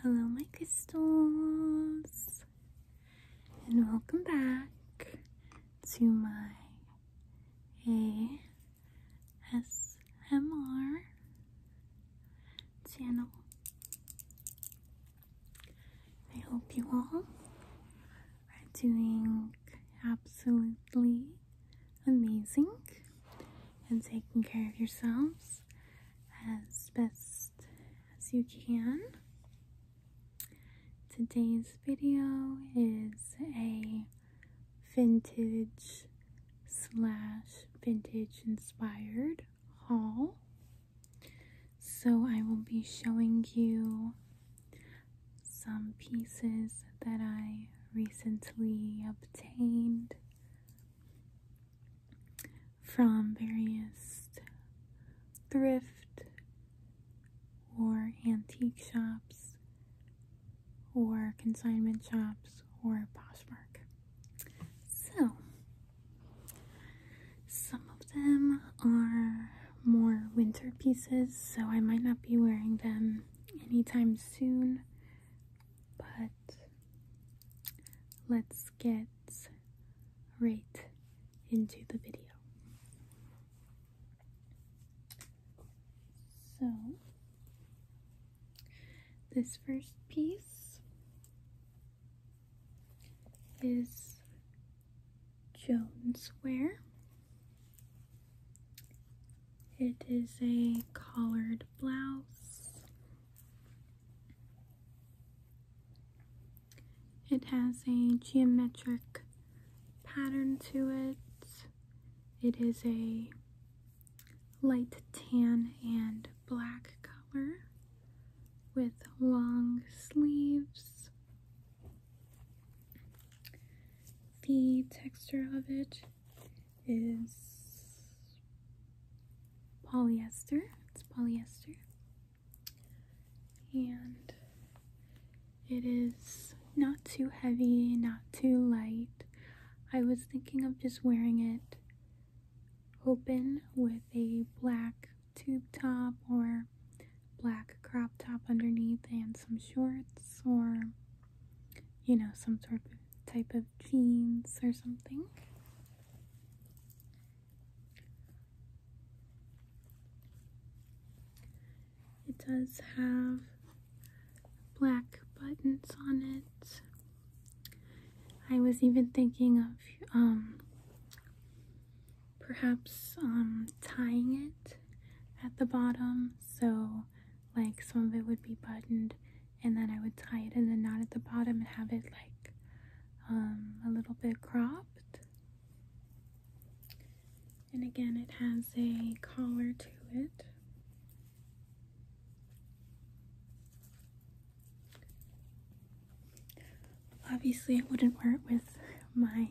Hello, my crystals, and welcome back to my ASMR channel. I hope you all are doing absolutely amazing and taking care of yourselves as best as you can. Today's video is a vintage slash vintage inspired haul. So I will be showing you some pieces that I recently obtained from various thrift or antique shops or consignment shops or Poshmark. So, some of them are more winter pieces, so I might not be wearing them anytime soon, but let's get right into the video. So, this first piece is Jonesware. It is a collared blouse. It has a geometric pattern to it. It is a light tan and black color with long sleeves. The texture of it is polyester. It's polyester. And it is not too heavy, not too light. I was thinking of just wearing it open with a black tube top or black crop top underneath and some shorts or you know, some sort of type of jeans or something. It does have black buttons on it. I was even thinking of um, perhaps um, tying at the bottom so like some of it would be buttoned and then I would tie it in a knot at the bottom and have it like um, a little bit cropped and again it has a collar to it obviously I wouldn't wear it with my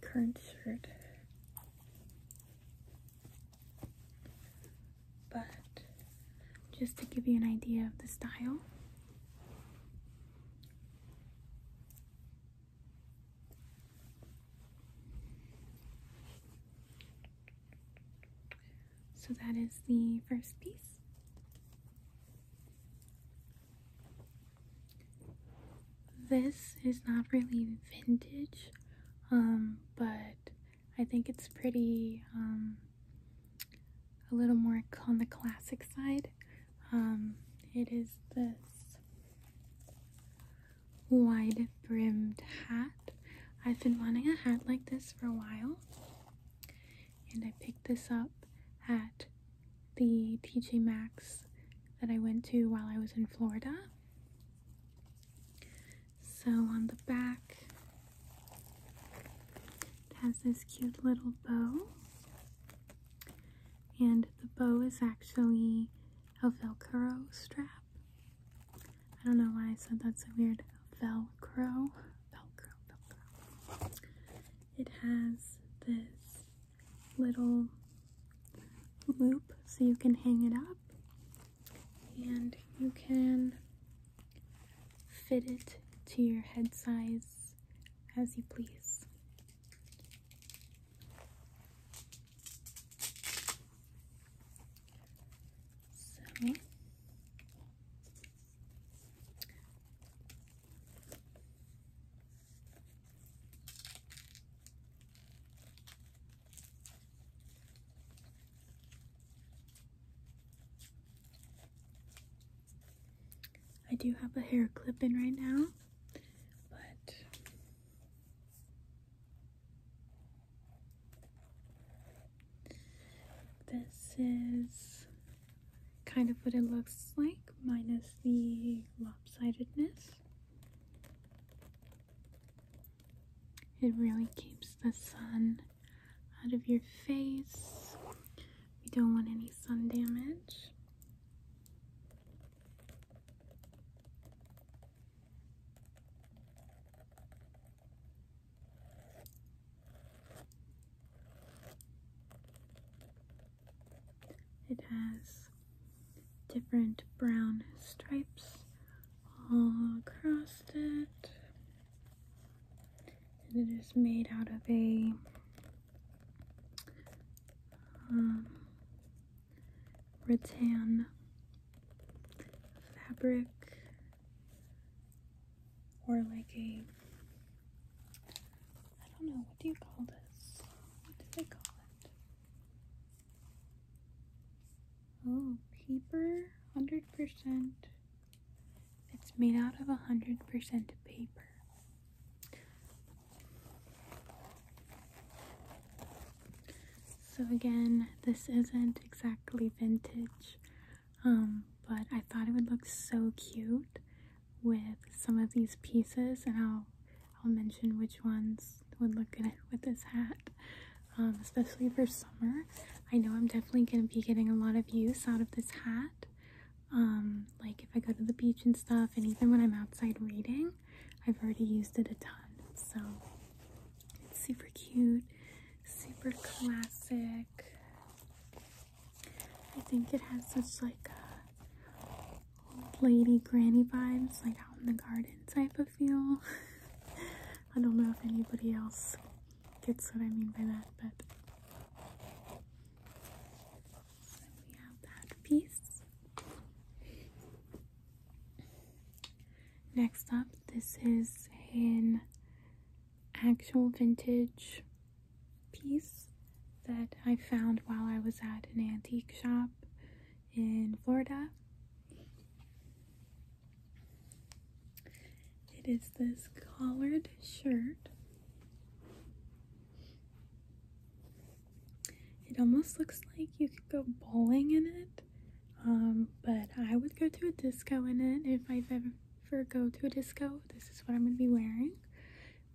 current shirt but just to give you an idea of the style. So that is the first piece. This is not really vintage, um, but I think it's pretty, um, a little more on the classic side. Um, it is this wide brimmed hat. I've been wanting a hat like this for a while, and I picked this up at the TJ Maxx that I went to while I was in Florida. So on the back, it has this cute little bow. And the bow is actually a Velcro strap. I don't know why I said that's a weird. Velcro. Velcro, Velcro. It has this little loop so you can hang it up and you can fit it to your head size as you please. I do have a hair clip in right now, but this is kind of what it looks like minus the lopsidedness. It really keeps the sun out of your face. We don't want any sun damage. It has different brown stripes all across it. And it is made out of a um, rattan fabric or like a I don't know what do you call this? What do they call it? Oh, paper, 100%. It's made out of 100% paper. So again, this isn't exactly vintage, um, but I thought it would look so cute with some of these pieces and I'll I'll mention which ones would look good with this hat, um, especially for summer. I know I'm definitely going to be getting a lot of use out of this hat, um, like if I go to the beach and stuff, and even when I'm outside reading, I've already used it a ton. So it's super cute, super classic. I think it has such like a lady granny vibes, like out in the garden type of feel. I don't know if anybody else gets what I mean by that, but. we have that piece. Next up, this is an actual vintage piece that I found while I was at an antique shop in Florida. It is this collared shirt. It almost looks like you could go bowling in it, um, but I would go to a disco in it if i ever go to a disco. This is what I'm going to be wearing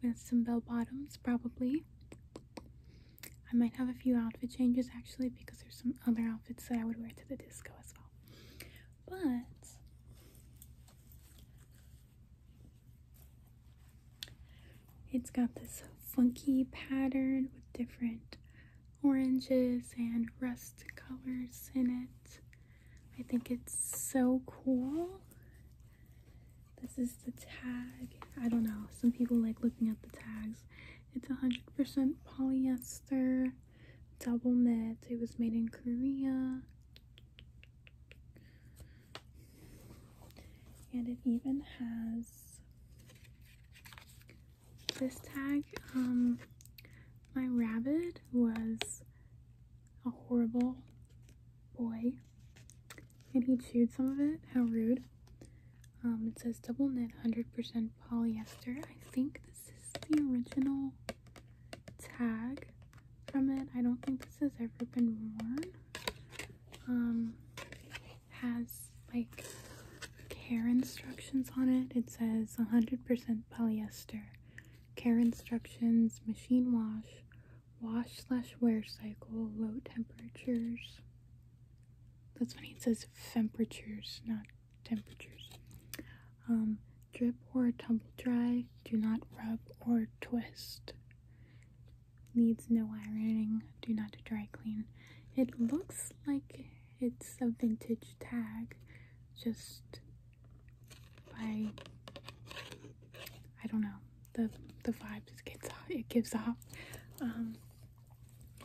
with some bell bottoms, probably. I might have a few outfit changes actually because there's some other outfits that I would wear to the disco as well. But it's got this funky pattern with different oranges and rust colors in it. I think it's so cool. This is the tag. I don't know. Some people like looking at the tags. It's 100% polyester, double knit. It was made in Korea. And it even has this tag. Um, my rabbit was a horrible boy and he chewed some of it. How rude. Um, it says double knit 100% polyester. I think this is the original tag from it. I don't think this has ever been worn. Um, has like care instructions on it. It says 100% polyester. Care instructions, machine wash, wash slash wear cycle, low temperatures. That's funny, it says temperatures, not temperatures. Um, drip or tumble dry, do not rub or twist. Needs no ironing, do not dry clean. It looks like it's a vintage tag, just by, I don't know the the vibe just gets off. It gives off. Um,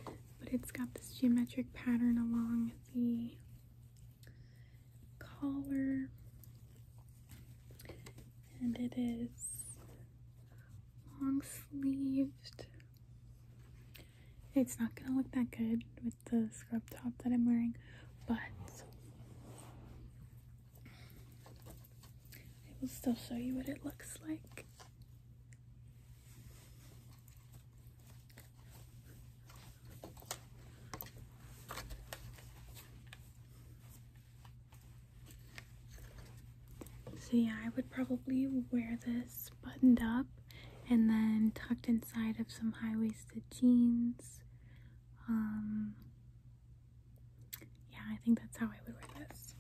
but it's got this geometric pattern along the collar, and it is long sleeved. It's not gonna look that good with the scrub top that I'm wearing, but I will still show you what it looks like. So yeah, I would probably wear this buttoned up and then tucked inside of some high-waisted jeans. Um, yeah, I think that's how I would wear this.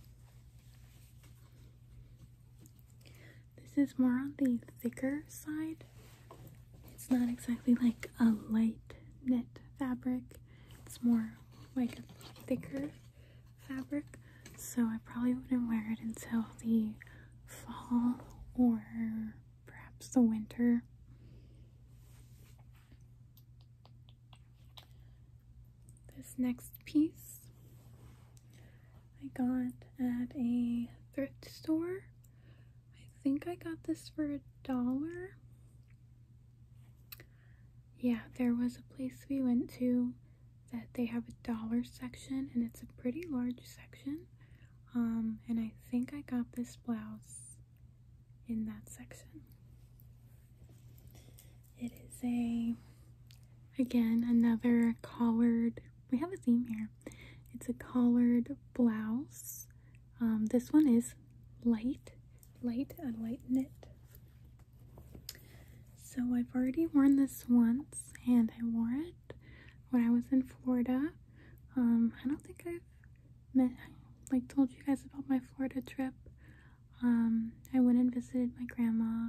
This is more on the thicker side. It's not exactly like a light knit fabric. It's more like a thicker fabric. So I probably wouldn't wear it until the fall or perhaps the winter. This next piece I got at a thrift store. I think I got this for a dollar. Yeah, there was a place we went to that they have a dollar section and it's a pretty large section. Um, and I think I got this blouse in that section. It is a, again, another collared, we have a theme here. It's a collared blouse. Um, this one is light, light, a light knit. So I've already worn this once and I wore it when I was in Florida. Um, I don't think I've met, like told you guys about my Florida trip. Um, I went and visited my grandma,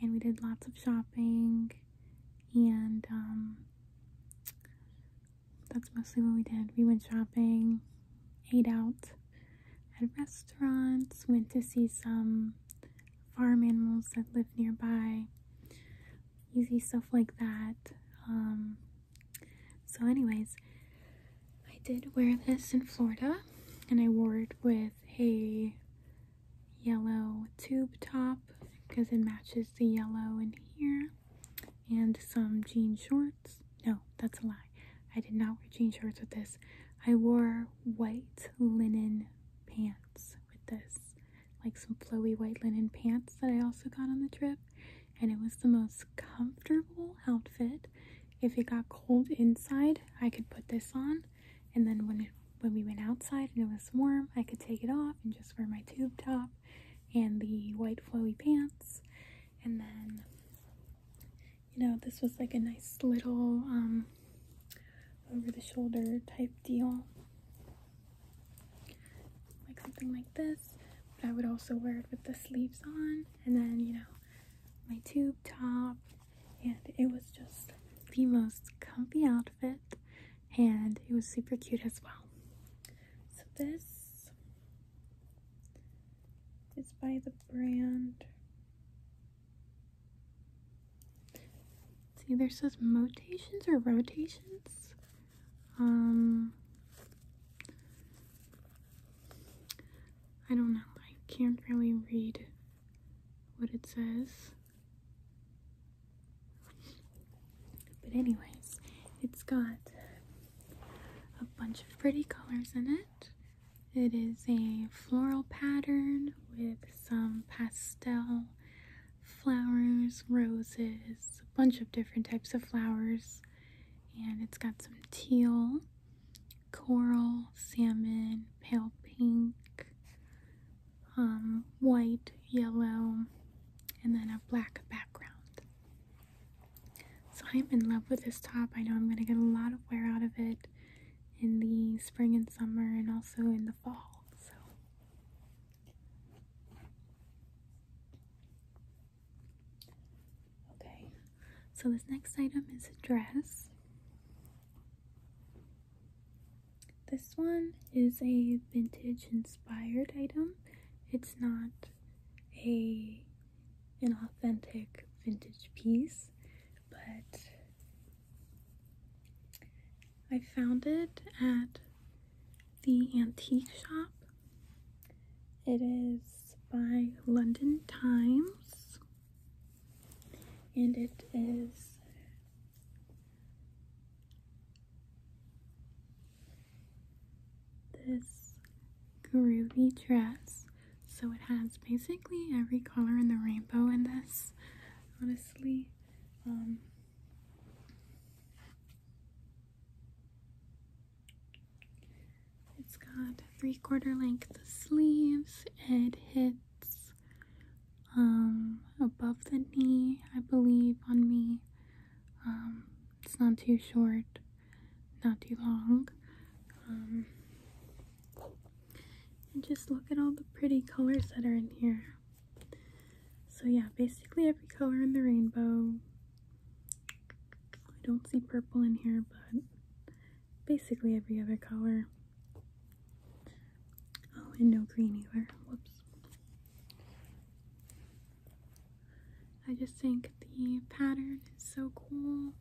and we did lots of shopping, and um, that's mostly what we did. We went shopping, ate out at restaurants, went to see some farm animals that live nearby, easy stuff like that. Um, so, anyways, I did wear this in Florida and I wore it with a yellow tube top because it matches the yellow in here and some jean shorts. No, that's a lie. I did not wear jean shorts with this. I wore white linen pants with this, like some flowy white linen pants that I also got on the trip and it was the most comfortable outfit. If it got cold inside, I could put this on, and then when when we went outside and it was warm, I could take it off and just wear my tube top and the white flowy pants. And then, you know, this was like a nice little um, over the shoulder type deal. Like something like this. I would also wear it with the sleeves on. And then, you know, my tube top, and it was just the most comfy outfit, and it was super cute as well. So this is by the brand. See, either says Motations or Rotations. Um, I don't know. I can't really read what it says. But anyways, it's got a bunch of pretty colors in it. It is a floral pattern with some pastel flowers, roses, a bunch of different types of flowers, and it's got some teal coral, salmon, pale pink, um, white, yellow, and then a black background. So I'm in love with this top. I know I'm going to get a lot of wear out of it in the spring and summer and also in the fall. So Okay, so this next item is a dress. This one is a vintage inspired item. It's not a an authentic vintage piece, but I found it at the antique shop it is by London Times and it is this groovy dress. So it has basically every color in the rainbow in this, honestly. Um, it's got three quarter length sleeves. It hits um, above the knee, I believe, on me. Um, it's not too short, not too long. Um, and just look at all the pretty colors that are in here. So yeah, basically every color in the rainbow I don't see purple in here, but basically every other color. Oh, and no green either. Whoops. I just think the pattern is so cool.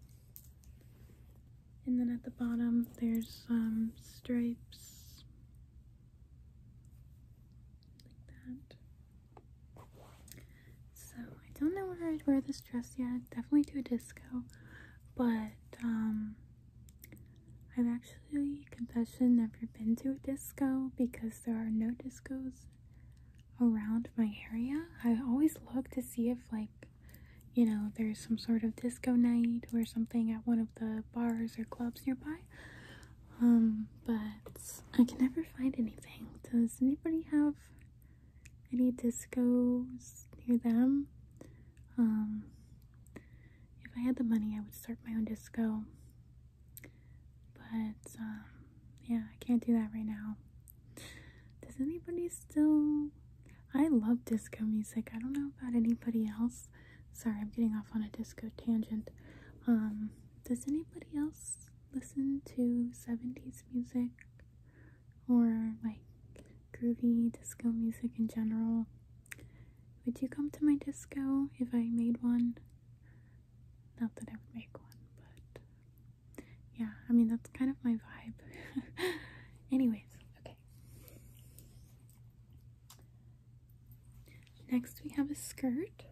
And then at the bottom, there's some stripes like that. So I don't know where I'd wear this dress yet. Definitely to a disco, but um, I've actually confession never been to a disco because there are no discos around my area. I always look to see if like you know there's some sort of disco night or something at one of the bars or clubs nearby. Um, but I can never find anything. Does anybody have any discos near them. Um, if I had the money, I would start my own disco. But um, yeah, I can't do that right now. Does anybody still? I love disco music. I don't know about anybody else. Sorry, I'm getting off on a disco tangent. Um, does anybody else listen to 70s music or like groovy disco music in general, would you come to my disco if I made one? Not that I would make one, but yeah, I mean, that's kind of my vibe. Anyways, okay. Next, we have a skirt.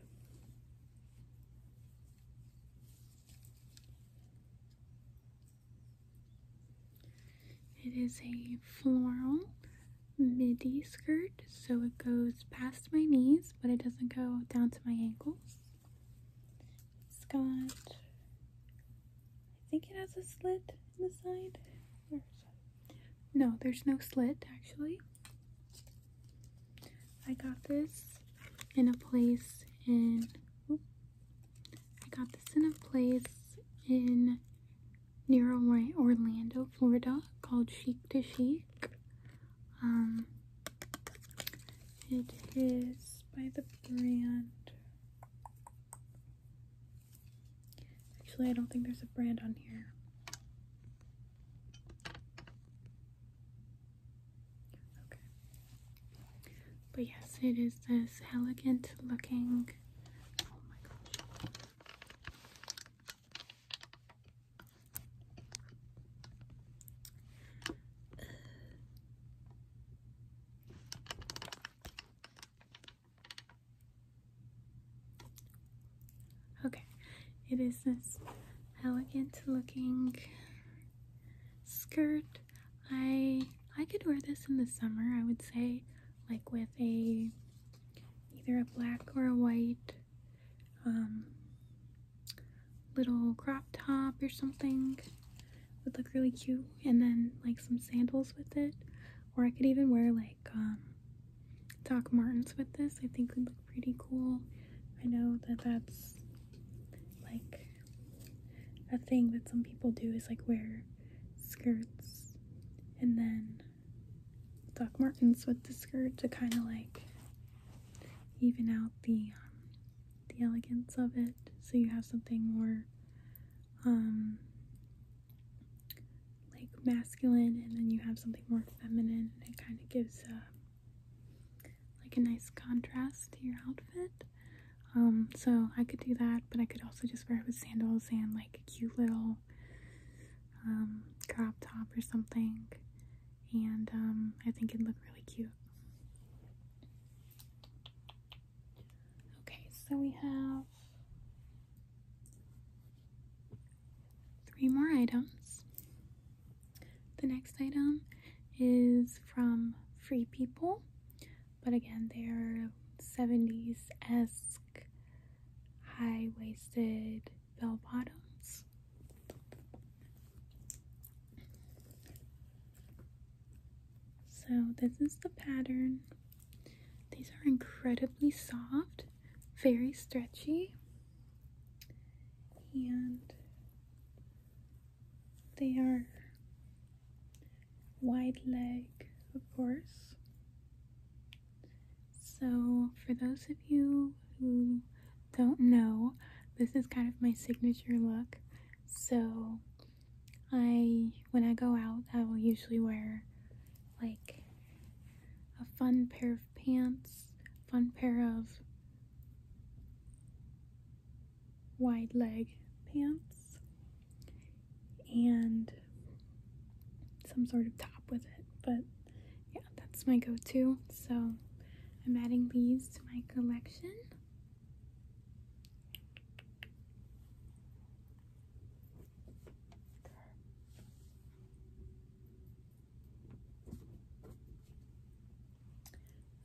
It is a floral midi skirt, so it goes past my knees, but it doesn't go down to my ankles. It's got, I think it has a slit in the side. No, there's no slit actually. I got this in a place in. I got this in a place in near Orlando, Florida, called Chic to Chic. Um, it is by the brand. Actually, I don't think there's a brand on here. But yes, it is this elegant looking. Oh okay, it is this elegant looking skirt. I I could wear this in the summer, I would say, like with a either a black or a white um, little crop top or something. Would look really cute, and then like some sandals with it, or I could even wear like um, Doc Martens with this. I think would pretty cool. I know that that's like a thing that some people do is like wear skirts and then Doc Martens with the skirt to kind of like even out the um, the elegance of it so you have something more um, like masculine and then you have something more feminine and it kind of gives a uh, like a nice contrast to your outfit. Um, so I could do that, but I could also just wear it with sandals and like a cute little um, crop top or something. And um, I think it'd look really cute. Okay, so we have three more items. The next item is from Free People, but again, they're 70s esque high waisted bell bottoms. So, this is the pattern. These are incredibly soft, very stretchy, and they are wide leg, of course. So, for those of you who don't know, this is kind of my signature look. So, I when I go out, I will usually wear like a fun pair of pants, fun pair of wide leg pants and some sort of top with it. But yeah, that's my go-to. So I'm adding these to my collection.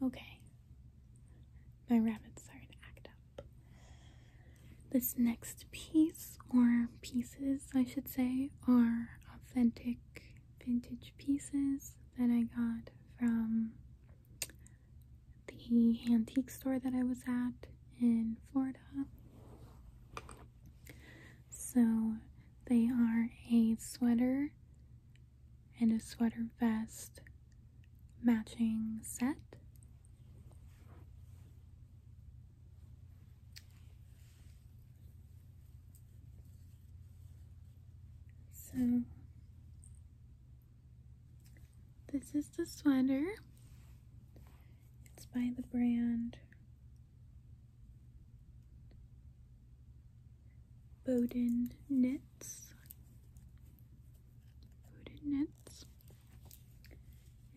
Okay, my rabbit's starting to act up. This next piece, or pieces, I should say, are authentic vintage pieces that I got from the antique store that I was at in Florida. So they are a sweater and a sweater vest matching set. So, this is the sweater. It's by the brand Bowden Knits. Bowden Knits.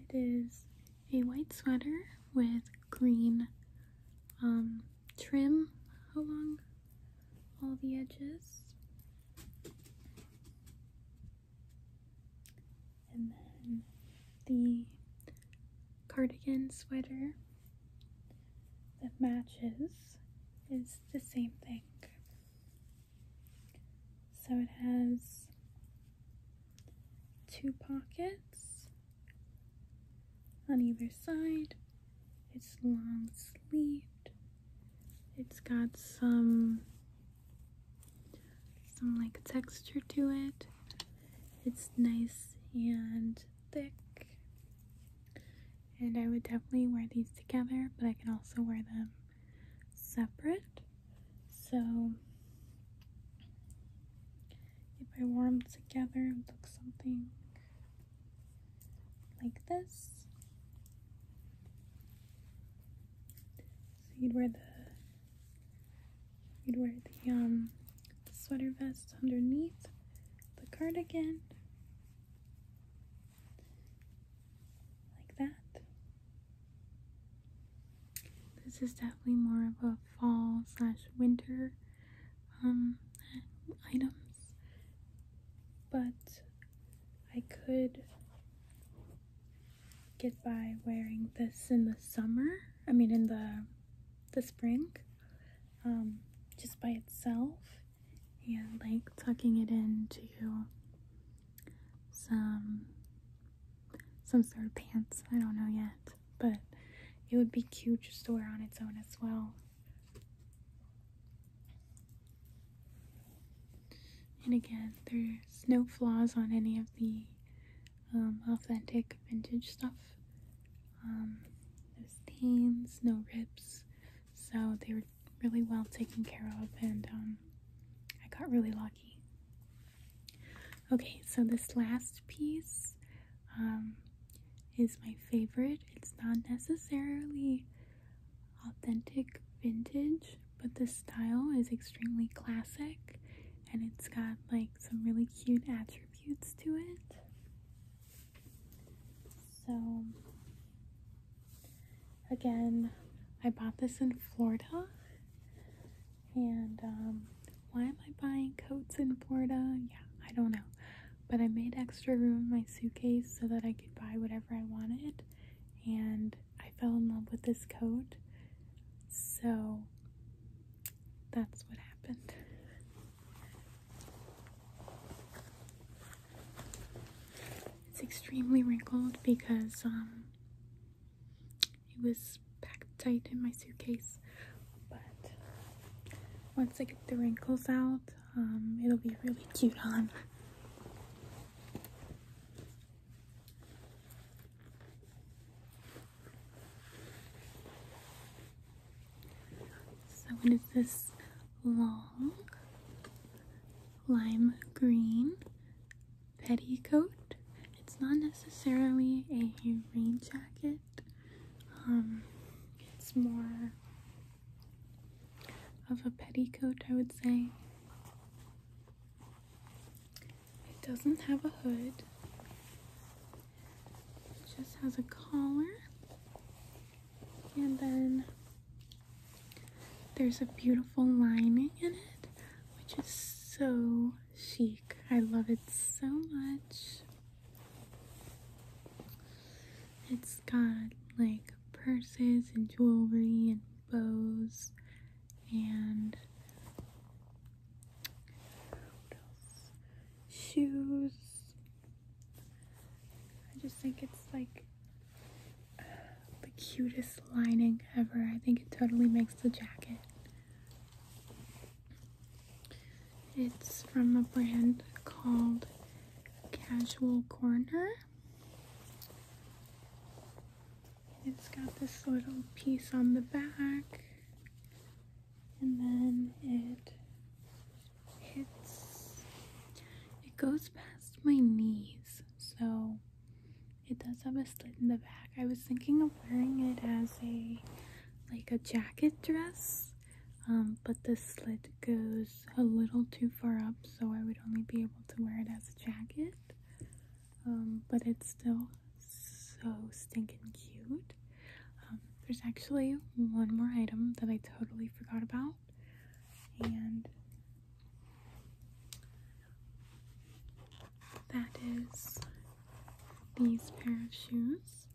It is a white sweater with green um, trim along all the edges. And then the cardigan sweater that matches is the same thing. So it has two pockets on either side. It's long sleeved. It's got some some like texture to it. It's nice and thick. And I would definitely wear these together, but I can also wear them separate. So if I wore them together, it would look something like this. So you'd wear the you'd wear the um sweater vest underneath the cardigan. Like that. This is definitely more of a fall slash winter um, items, but I could get by wearing this in the summer I mean in the the spring um, just by itself and like tucking it into some some sort of pants I don't know yet but it would be cute just to wear on its own as well and again there's no flaws on any of the um, authentic vintage stuff um, no stains, no rips, so they were really well taken care of, and um, I got really lucky. Okay, so this last piece um, is my favorite. It's not necessarily authentic vintage, but the style is extremely classic and it's got like some really cute attributes to it. So, again, I bought this in Florida. And um, why am I buying coats in Florida? Yeah, I don't know. But I made extra room in my suitcase so that I could buy whatever I wanted. And I fell in love with this coat. So, that's what happened. It's extremely wrinkled because um, it was packed tight in my suitcase, but once I get the wrinkles out, um, it'll be really cute on. So when it's this long lime green petticoat, it's not necessarily a rain jacket. Um, it's more of a petticoat, I would say. It doesn't have a hood. It just has a collar. And then there's a beautiful lining in it, which is so chic. I love it so much. It's got like purses and jewelry and bows and Shoes. I just think it's like the cutest lining ever. I think it totally makes the jacket. It's from a brand called Casual Corner. It's got this little piece on the back and then it hits it goes past my knees so it does have a slit in the back i was thinking of wearing it as a like a jacket dress um, but the slit goes a little too far up so i would only be able to wear it as a jacket um, but it's still so stinking cute. Um, there's actually one more item that I totally forgot about, and that is these pair of shoes.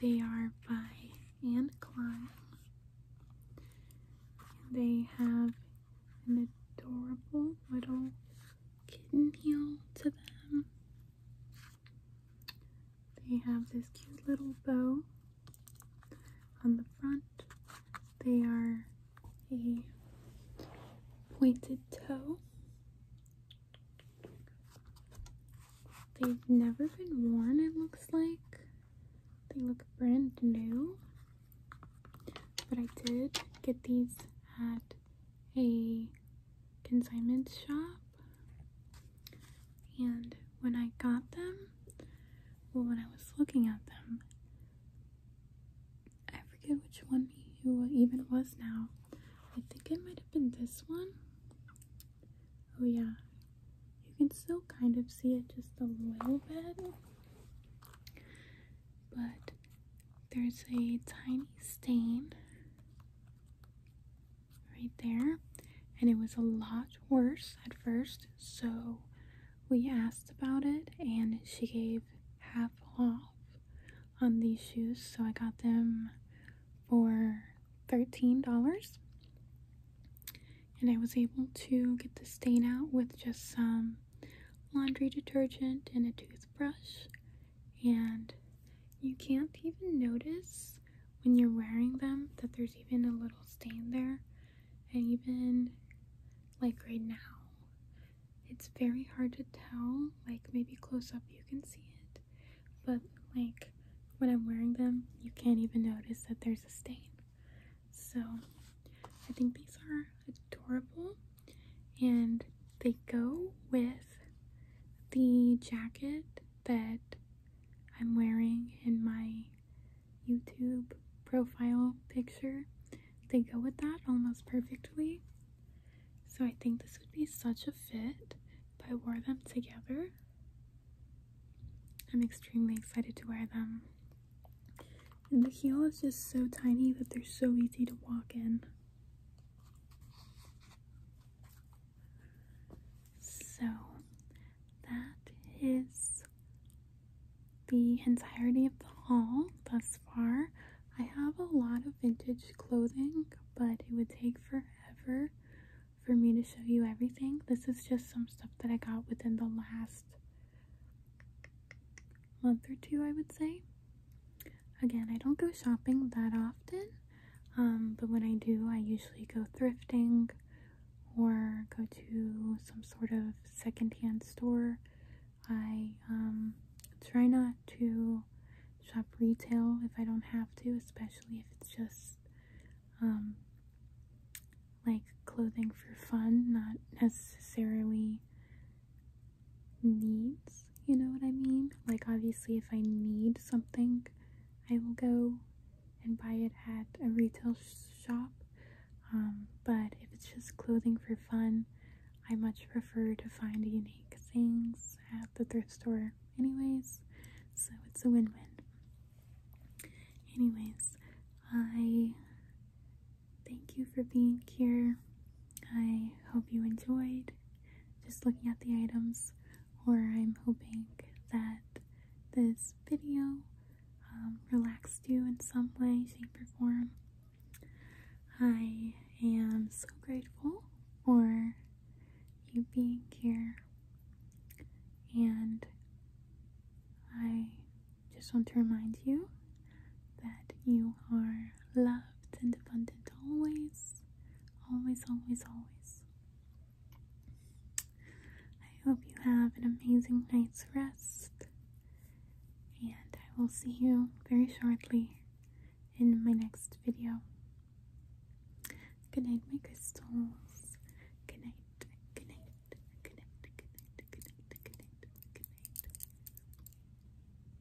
They are by Anne Klein. They have an adorable little kitten heel to them. They have this cute little bow on the front. They are a pointed toe. They've never been worn, it looks like. They look brand new. But I did get these at a consignment shop. And when I got them, well, when I was looking at them, I forget which one who even was now. I think it might have been this one. Oh, yeah. You can still kind of see it just a little bit. But there's a tiny stain right there. And it was a lot worse at first, so we asked about it, and she gave half off on these shoes. So I got them for $13. And I was able to get the stain out with just some laundry detergent and a toothbrush and you can't even notice when you're wearing them that there's even a little stain there and even like right now it's very hard to tell like maybe close up you can see it but like when I'm wearing them you can't even notice that there's a stain so I think these are adorable and they go with the jacket that I'm wearing in my YouTube profile picture. They go with that almost perfectly. So I think this would be such a fit if I wore them together. I'm extremely excited to wear them. And the heel is just so tiny that they're so easy to walk in. So that is the entirety of the haul thus far. I have a lot of vintage clothing, but it would take forever for me to show you everything. This is just some stuff that I got within the last month or two, I would say. Again, I don't go shopping that often, um, but when I do, I usually go thrifting or go to some sort of secondhand store. I um, try not to shop retail if I don't have to, especially if it's just um, like clothing for fun, not necessarily needs, you know what I mean? Like, obviously, if I need something, I will go and buy it at a retail shop. Um, but if it's just clothing for fun, I much prefer to find unique things at the thrift store, anyways. So it's a win win. Anyways, I thank you for being here. I hope you enjoyed just looking at the items, or I'm hoping that this video um, relaxed you in some way, shape, or form. I am so grateful for you being here, and I just want to remind you that you are loved and abundant always, always, always, always. I hope you have an amazing night's rest, and I will see you very shortly in my next video. Good night, my crystals. Good night, good night, good night, good night, good night, good night, good night.